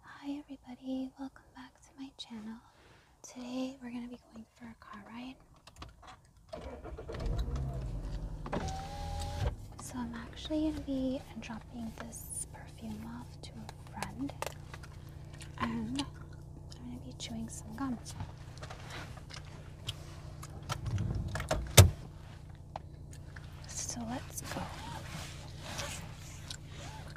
Hi everybody, welcome back to my channel. Today we're going to be going for a car ride. So I'm actually going to be dropping this perfume off to a friend and I'm going to be chewing some gum. So let's go.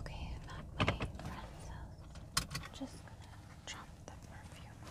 Okay, i at my friend's house. I'm just gonna drop the perfume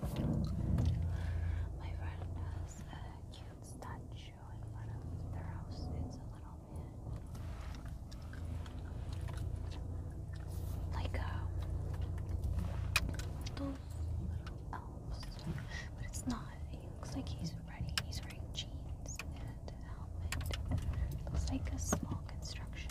My friend has a cute statue in front of their house. It's a little man. Like um, those little elves. But it's not. He looks like he's ready. He's wearing jeans and a helmet. It looks like a small construction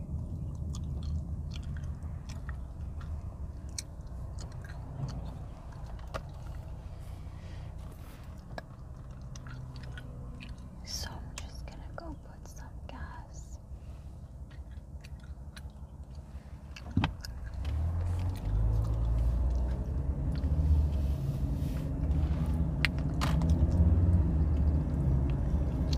So I'm just gonna go put some gas.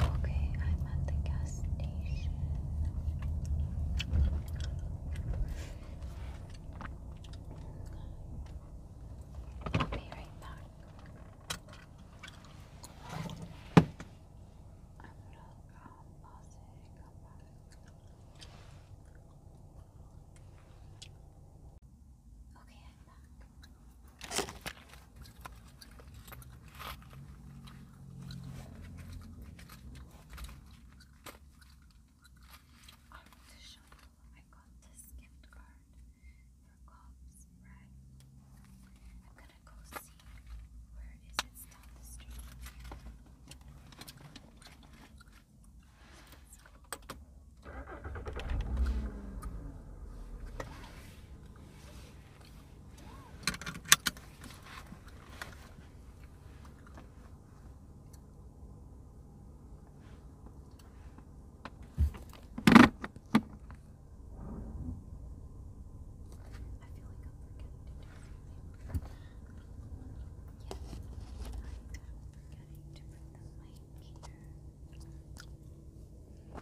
Okay, I'm at the gas station. be right back. Okay, I'm back. I want to show you. I got this gift card for Cobb's Bread. I'm gonna go see. Where is it? It's the street from I feel like I'm forgetting something forgetting to There. Well,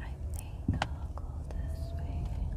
I think I'll go this way.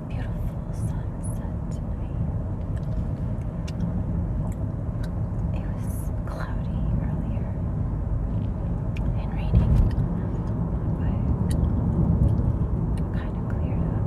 beautiful sunset tonight. It was cloudy earlier and raining, but kind of cleared up.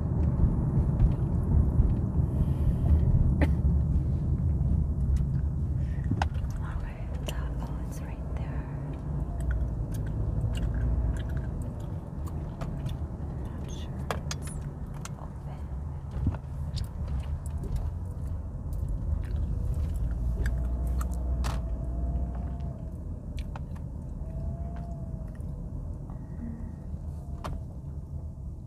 Okay, that, oh, it's right there. I'm not sure it's open. Um,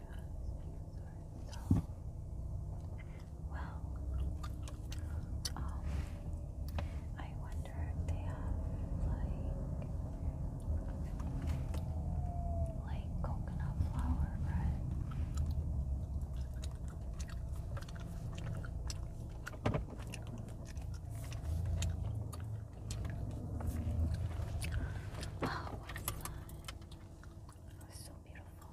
so, well, um, I wonder if they have like, like coconut flour bread. Oh, what fun. It was so beautiful.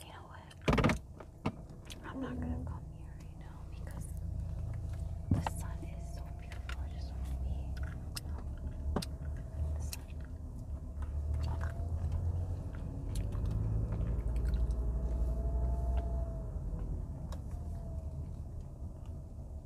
You know what? I'm not going to come here right now because the sun is so beautiful. I just want to be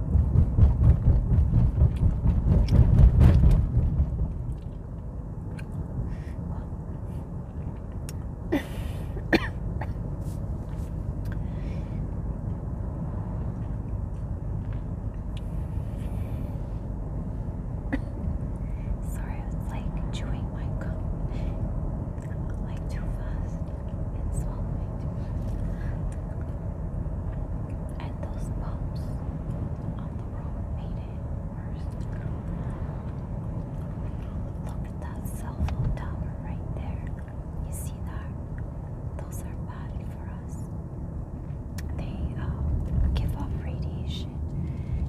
Sorry, I was like chewing my gum like too fast and swallowing too and those bumps on the road made it worse. Look at that cell phone tower right there. You see that? Those are bad for us. They um, give off radiation.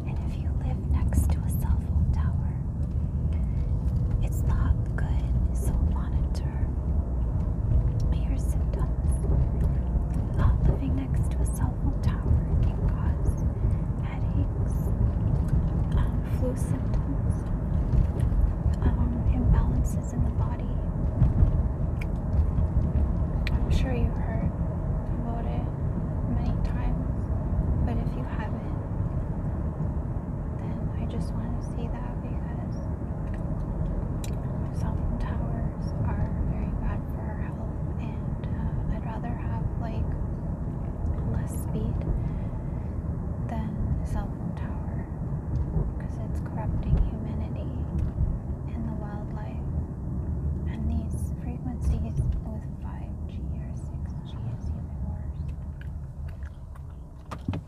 And if you live next to a cell phone tower, it's not good. So monitor your symptoms. Uh, living next to a cell phone tower can cause headaches, um, flu symptoms, um, imbalances in the body. I'm sure you've heard about it many times, but if you haven't, then I just want to say that because cell towers are very bad for our health, and uh, I'd rather have like less speed than a cell phone tower because it's corrupting humanity and the wildlife. And these frequencies with 5G or 6G is even worse.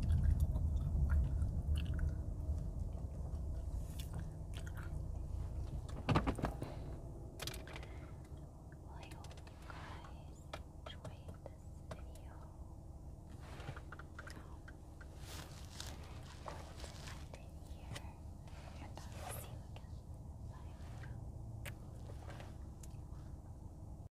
Well, you guys enjoyed video. I'm going here, and I'll see you again. Bye.